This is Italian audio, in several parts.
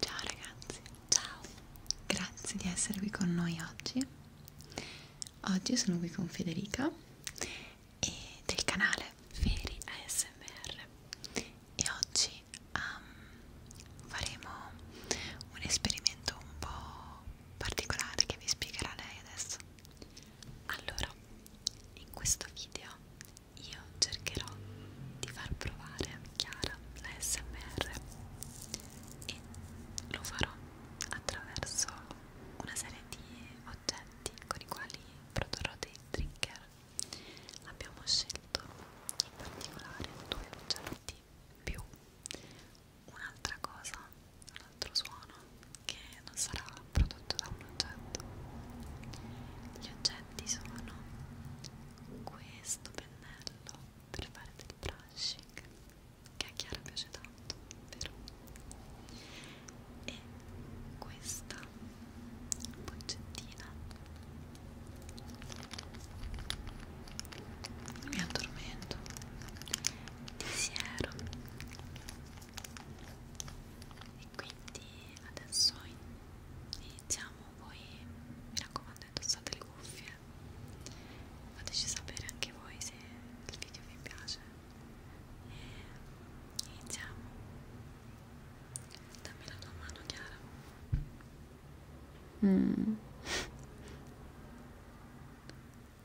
Ciao ragazzi, ciao, grazie di essere qui con noi oggi. Oggi sono qui con Federica e del canale Feri ASMR e oggi um, faremo un esperimento un po' particolare che vi spiegherà lei adesso. Allora, in questo video io cercherò di far provare a Chiara la SMR e lo farò attraverso una serie di oggetti con i quali produrrò dei trigger. Abbiamo scelto in particolare due oggetti più un'altra cosa, un altro suono che non sarà prodotto da un oggetto. Gli oggetti sono questo pennello per fare del brushing che a Chiara piace tanto, vero? E questa boccettina mi addormento pensiero e quindi adesso iniziamo voi mi raccomando indossate le cuffie fateci sapere anche voi se il video vi piace e iniziamo dammi la tua mano Chiara mm.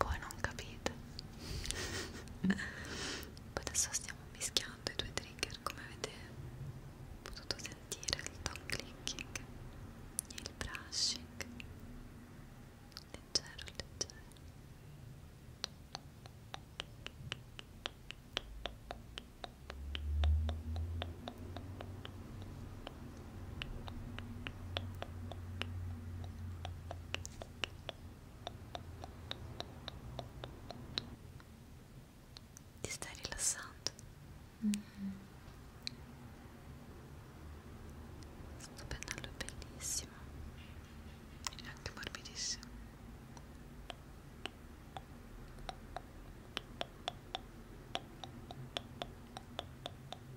voi non capite poi adesso stiamo mischiando i due trigger come avete potuto sentire il tongue clicking e il brushing leggero leggero ti stai rilassando? Mm -hmm. Sto pennello è bellissimo e anche morbidissimo. Ecco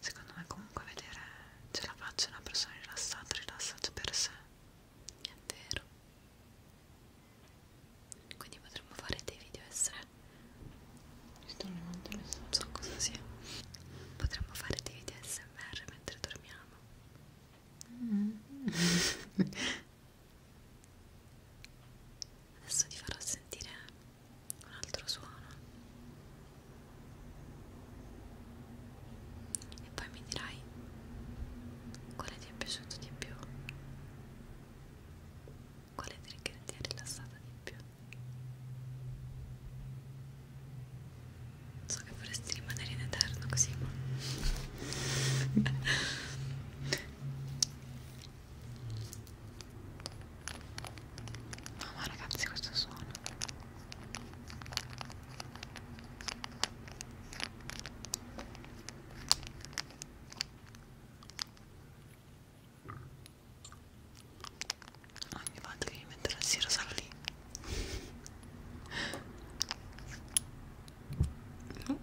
secondo me comunque vedere ce la faccia una persona rilassata rilassata per sé è vero quindi potremmo fare dei video essere non so cosa sia potremmo fare dei video smr mentre dormiamo mm. adesso ti farò sentire un altro suono e poi mi dirai quale ti è piaciuto di più quale trigger ti ha rilassata di più so che vorresti rimanere in eterno così ma No ma ragazzi questo suono ogni volta che mi metto la sera sarò lì no.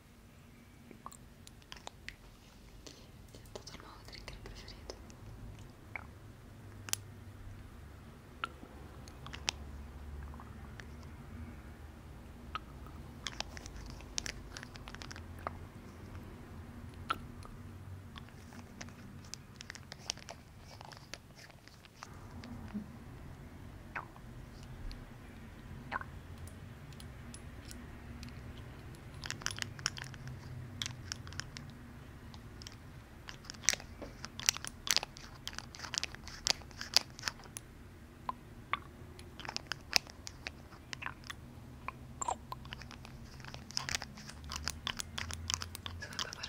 è diventato il nuovo trigger preferito Dovrebbe fare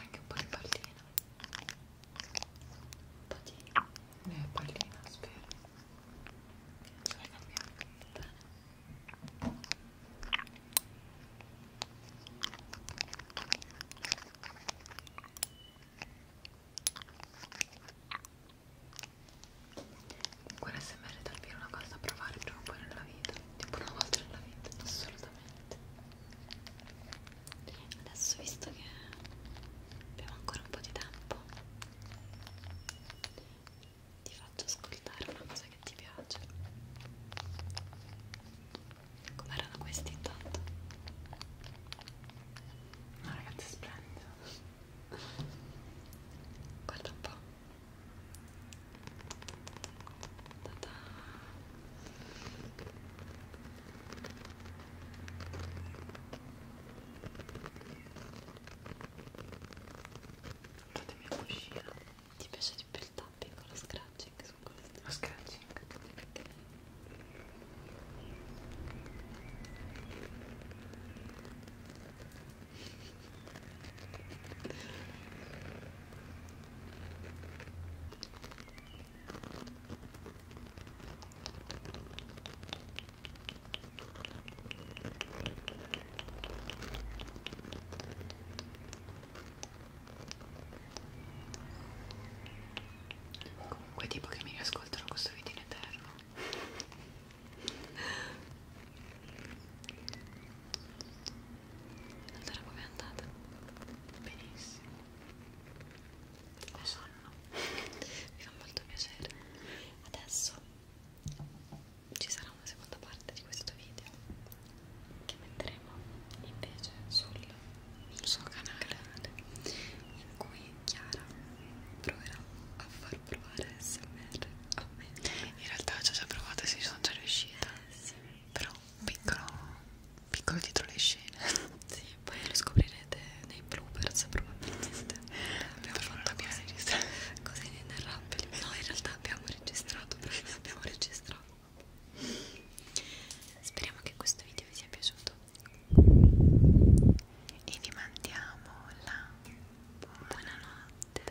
anche un po' di pallina. Un po' di eh, pallina, spero. Guarda smr è davvero una cosa da provare prima o poi nella vita, tipo una volta nella vita, assolutamente. Adesso visto che abbiamo ancora un po' di tempo ti faccio ascoltare una cosa che ti piace com'erano questi intanto? ma ragazzi splendido guarda un po' Ta -ta. Fatemi una cuscina. Ti piace di più il tapping o lo scratching su questo? Lo scratching. Okay. Comunque tipo che mi riascoltano questo video in eterno Allora com'è andata? Benissimo ho sonno mi fa molto piacere adesso ci sarà una seconda parte di questo video che metteremo invece sul suo canale in cui Chiara proverà a far provare SMR a me in realtà ci ho già provato e ci sono già riuscita eh, sì. però piccolo piccolo dietro le scene sì, poi lo scoprirete nei bloopers probabilmente abbiamo fatto cose, cose inenarrabili no in realtà abbiamo registrato abbiamo registrato speriamo che questo video vi sia piaciuto e vi mandiamo la buonanotte buonanotte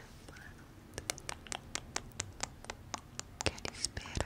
che vi spera